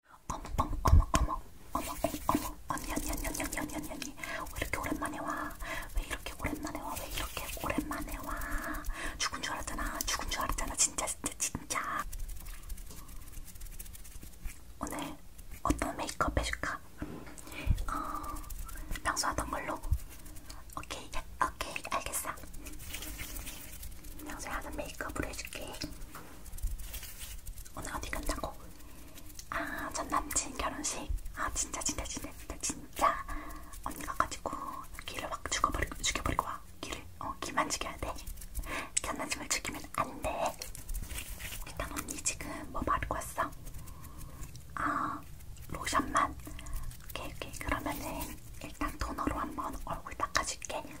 어머 어머 어머 어머 어머 어, 어머 언니 언니 언니 언니 언니 언니 언니 왜 이렇게 오랜만에 와? 왜 이렇게 오랜만에 와? 왜 이렇게 오랜만에 와? 죽은 줄 알았잖아 죽은 줄 알았잖아 진짜 진짜 진짜 오늘 어떤 메이크업 해줄까? 어, 평소 하던 걸로 오케이 오케이 알겠어 평소에 하던 메이크업으로 해줄게 오늘 어디 간다고? 아, 전 남친 결혼식. 아, 진짜, 진짜, 진짜, 진짜, 진짜. 언니가 가지고 귀를 막 죽여버리고, 죽여버리고 와. 귀를. 어, 귀만 죽여야 돼. 전 남친을 죽이면 안 돼. 일단 언니 지금 뭐 바르고 왔어? 아, 로션만. 오케이, 오케이. 그러면은 일단 토너로 한번 얼굴 닦아줄게.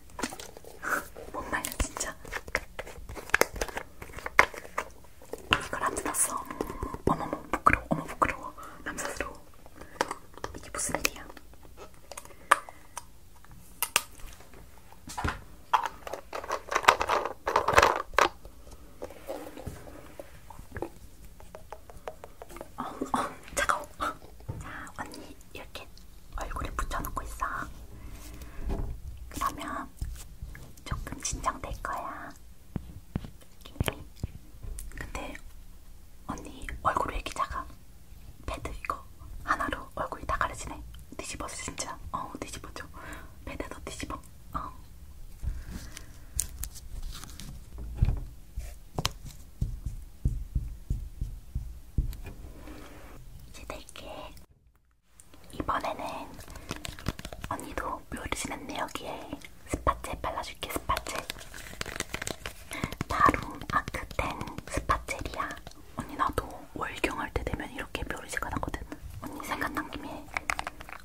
못 말려 진짜. 이걸 안 뜯었어. 어머머 부끄러워. 어머 부끄러워. 남사스러워. 이게 무슨 일이야? 어, 어, 차가워. 자, 언니 이렇게 얼굴에 붙여놓고 있어. 그러면 조금 진정될 거야. 느낌이. 근데 언니 얼굴 왜 이렇게 작아? 패드 이거 하나로 얼굴이 다 가려지네. 뒤집어서 진짜. 어 뒤집어줘. 패드도 뒤집어. 어. 이제 될게. 이번에는 언니도 묘를 지났네 여기에 스파젬 발라줄게 스파젬. 다룸 아크텐 스파젬이야. 언니 나도 월경할 때 되면 이렇게 묘를 지가나거든. 언니 생각난 김에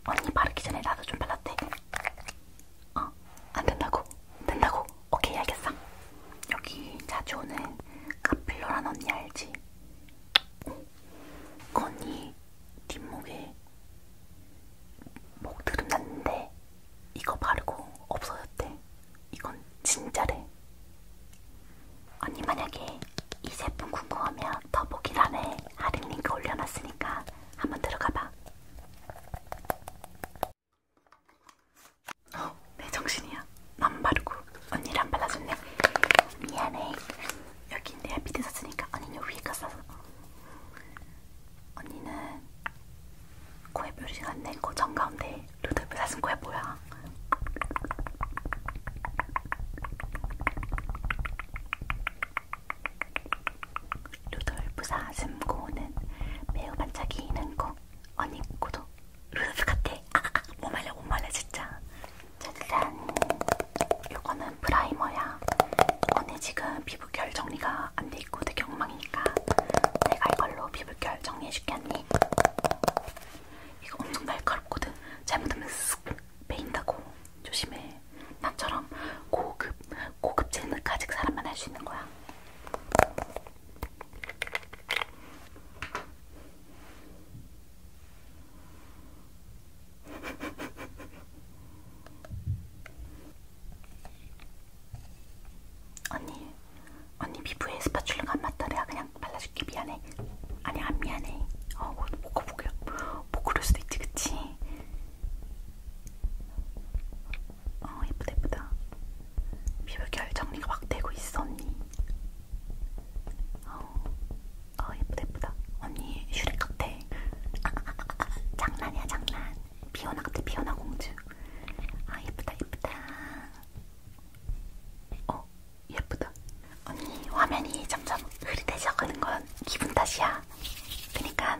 언니 바르기 전에 나도 좀 발랐대. 어, 안 된다고? 된다고? 오케이, 알겠어. 여기 자주 오는 카필러란 언니 알지? 응. 그 언니 뒷목에 목드름 났는데 이거 바르고 없어졌대. 이건 진짜래. 언니 만약에 이 제품 궁금하면 더보기란에 할인 링크 올려놨으니까 한번 들어가봐. 어, 내 정신이야. 안 바르고 언니를 안 발라줬네. 미안해. 여기 내가 밑에 샀으니까 언니는 위에 가서 언니는 코에 뾰루지가 안 내고 정가운데 루돌프 사슴 코에 뭐야? 루돌프 사슴 코는 매우 반짝이는 코 언니 구독 루스 같아. 아, 못 말려 못 말려 진짜. 짜잔. 이거는 프라이머야. 언니 지금 피부결 정리가 안돼 있고 되게 엉망이니까 내가 이걸로 피부결 정리해줄게 언니. 이거 엄청 날카롭거든. 잘못하면 쓱 베인다고 조심해. 나처럼 고급 고급 질문 가직 사람만 할 수 있는 거야. 언니, 언니 피부에 스파츌러가 안 맞다. 내가 그냥 발라줄게. 미안해. 아니, 안 미안해. 어, 못 거보게. 못 그럴 수도 있지, 그치? 어 예쁘다 예쁘다 피부결 정리가 확 되고 있어 언니 어, 어 예쁘다 예쁘다 언니 슈렉 같아 아, 아, 아, 아, 장난이야 장난 비오나 같아 비오나 공주 아 예쁘다 예쁘다 어 예쁘다 언니 화면이 점점 흐릿해져가는 건 기분 탓이야 그니까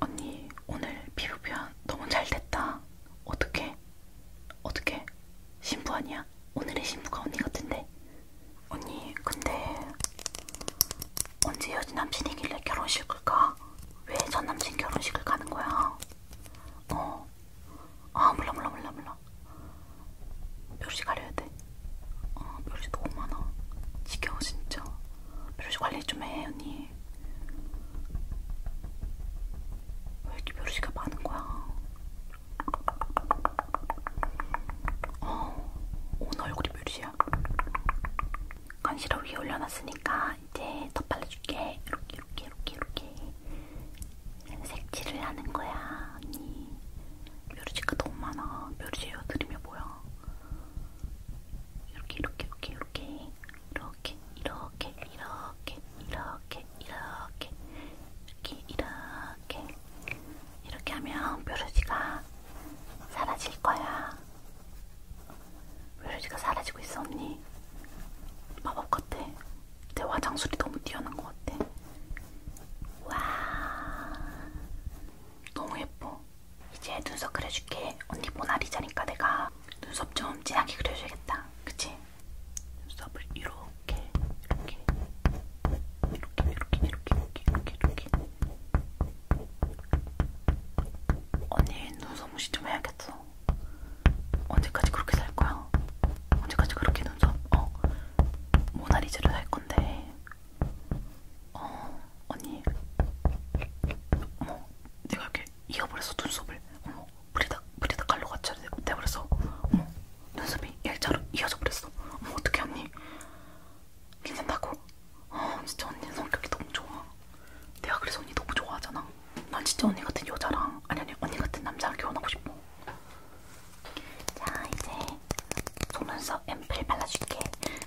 언니 오늘 피부 표현 너무 잘 됐다. 어떻게? 어떻게? 신부 아니야? 오늘의 신부가 언니 같은데. 언니 근데 언제 여자남친이길래 결혼식을 가? 왜 전남친 결혼식을 가는 거야? 어. 아 몰라 몰라 몰라 몰라. 뾰루지 가려야 돼. 아 뾰루지 너무 많아. 지겨워 진짜. 뾰루지 관리 좀 해 언니. 왜 이렇게 벼루시가 많은 거야? 어, 오늘 얼굴이 벼루시야. 컨실러 위에 올려놨으니까 이제 덧발라줄게. 이렇게, 이렇게, 이렇게, 이렇게. 색칠을 하는 거야, 언니. 벼루시가 너무 많아. 벼루시 헤어드림이 뭐야? 이렇게, 이렇게, 이렇게, 이렇게. 이렇게 이렇게 이렇게 이렇게 이렇게 이렇게 이렇게 이렇게 하면 뾰루지가 사라질 거야. 뾰루지가 사라지고 있어 언니. 마법 같아. 내 화장술이 너무 뛰어난 것 같아. 와, 너무 예뻐. 이제 눈썹 그려줄게. 언니 모나리자니까 내가 눈썹 좀 진하게 그려줘야겠다. 그치? 눈썹을 이렇게, 이렇게, 이렇게, 이렇게, 이렇게, 이렇게, 이렇게. 언니 눈썹 무시 좀 해야겠어. 언제까지 그렇게 살 거야? 언제까지 그렇게 눈썹? 어, 모나리자로 살 건데. 어, 언니, 어머, 내가 이렇게 잃어버려서 눈썹을, 어머, 브리다, 브리다 칼로 같이 돼버렸어. 어머, 눈썹이 일자로 이어져 버렸어. 어머, 어떡해, 언니. 괜찮다고? 아, 진짜 언니 성격이 너무 좋아. 내가 그래서 언니 너무 좋아하잖아. 난 진짜 언니 같은 여자랑, 아니, 아니, 언니 같은 남자랑 결혼하고 싶어. 자, 이제 속눈썹 앰플 발라줄게.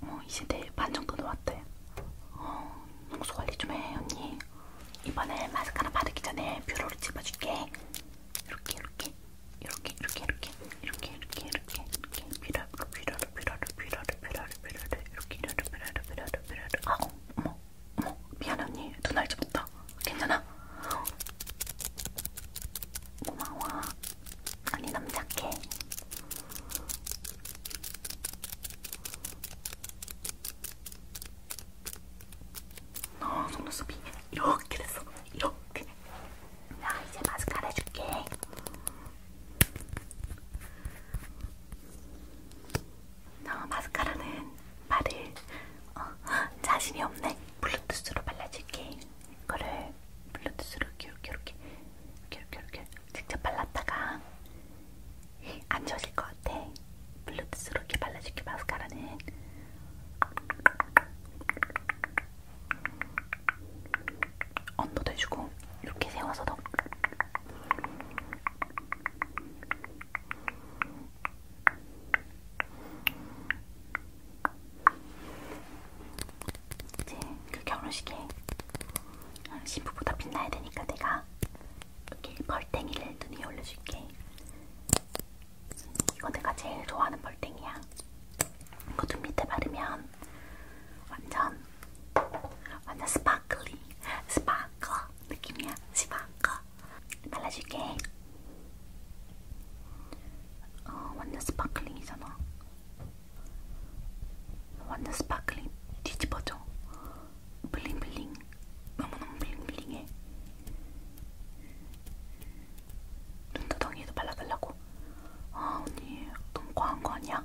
어, 이제 내일 반 정도 남았대. 어, 홍수 관리 좀 해, 언니. 이번에 마스카라 바르기 전에 뷰러를 집어줄게. 이렇게, 이렇게, 이렇게, 이렇게, 이렇게, 이렇게, 이렇게, 이렇게, 이렇게, 뷰러, 뷰러, 뷰러, 뷰러, 뷰러, 뷰러, 이렇게, 뷰러, 뷰러, 뷰러, 뷰러. 아, 어머, 어머, 미안해 언니, 눈알 집었다. 괜찮아? 고마워. 아니 너무 착해. 어 속눈썹이 이렇게 됐어. 이렇게. 야 이제 마스카라 해줄게. 어, 마스카라는 발을 어, 자신이 없네. 블루투스로 발라줄게. 이거를 블루투스로 이렇게 이렇게 이렇게 이렇게 이렇게 직접 발랐다가 안 좋으실 것 같아. 블루투스로 이렇게 발라줄게 마스카라는. 언더도 해주고 이렇게 세워서도 이제 그 결혼식에 신부보다 빛나야 되니까 내가 이렇게 벌땡이를 눈에 올려줄게. 이거 내가 제일 좋아하는 벌땡이야. 이거 눈 밑에 바르면 완전 완전 스파클리 스파클 느낌이야. 스파클 발라줄게. 어, 완전 스파클링이잖아. 완전 스파클링 뒤집어져. 블링블링. 너무너무 블링블링해. 눈두덩이에도 발라달라고. 아, 언니, 너무 과한 거 아니야?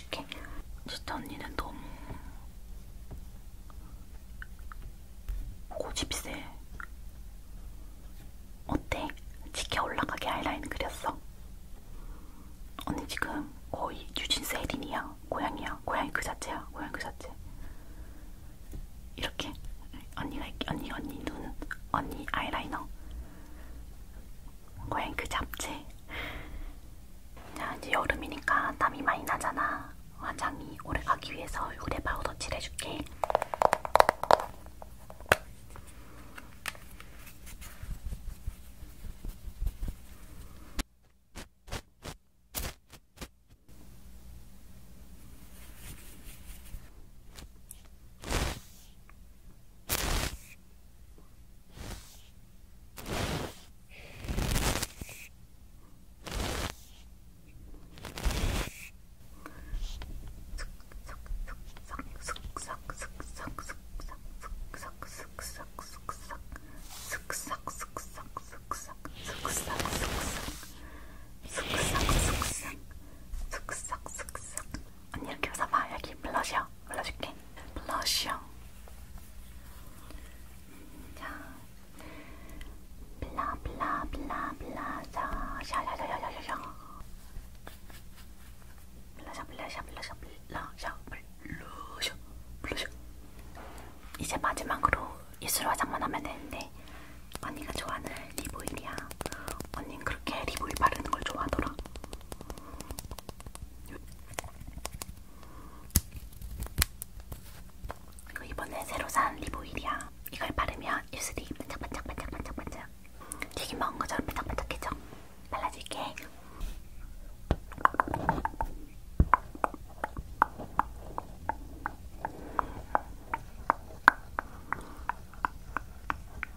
해줄게. 진짜 언니는 너무 고집이 세. 어때? 지켜 올라가게 아이라인 그렸어? 언니 지금 거의 뉴진스 혜린이야. 고양이야. 고양이 그 자체야. 고양이 그 자체. 이렇게 언니가 언니 언니 눈 언니 아이라이너 고양이 그 잡채 자 이제 여름이니까 땀이 많이 나잖아. 화장이 오래가기 위해서 얼굴에 파우더 칠해줄게. 언니 이렇게 웃어봐 여기 블러셔 발라줄게. 블러셔. 자, 블라블라블라블라셔, 샤샤샤샤샤. 블러셔, 블러셔, 블러셔, 블러셔, 블러셔, 블러셔. 이제 마지막으로 입술 화장만 하면 되는데 언니가 좋아하는 립오일이야. 언니 그렇게 립오일 바르는 걸 좋아하더라. 그리고 이번에 새로 산 리보일이야. 이걸 바르면 입술이 반짝반짝반짝반짝반짝 튀김 먹은 것처럼 반짝반짝해져. 발라줄게.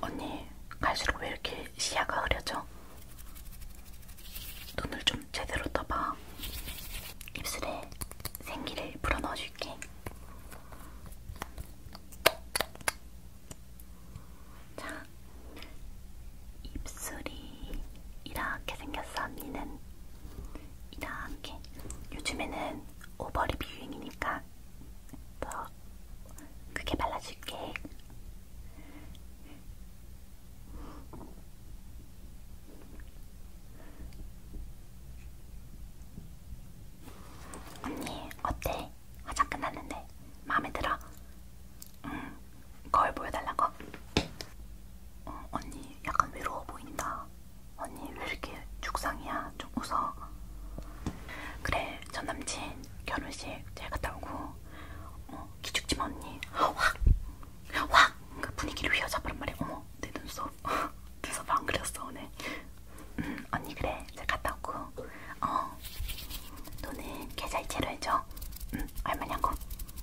언니 갈수록 왜 이렇게 시야가 흐려져? 눈을 좀 제대로 떠봐. 입술에 생기를 불어 넣어줄게. 자, 입술이 이렇게 생겼어 언니는. 이렇게 요즘에는 오버립 유행이니까 더 크게 발라줄게. 언니 어때? 화장 끝났는데 마음에 들어? 응. 거울 보여달라고? 어, 언니 약간 외로워 보인다. 언니 왜 이렇게 죽상이야? 좀 웃어. 그래 전 남친 결혼식 잘 갔다 오고 어, 기죽지마 언니 확! 확! 그 분위기를 휘어잡으란 말이야 어머 내 눈썹 눈썹 안 그렸어 오늘 음, 언니 그래 잘 갔다 오고 어 너는 계좌이체로 해줘 응 얼마냐고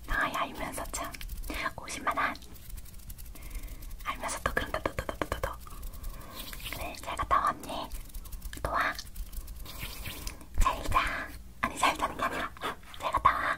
나이 알면서 참 50만원 알면서도 그런다 또또또또또 네, 잘 갔다 왔니? 또 와? 잘 자. 아니 잘 자는 게 아니라 잘 갔다 와.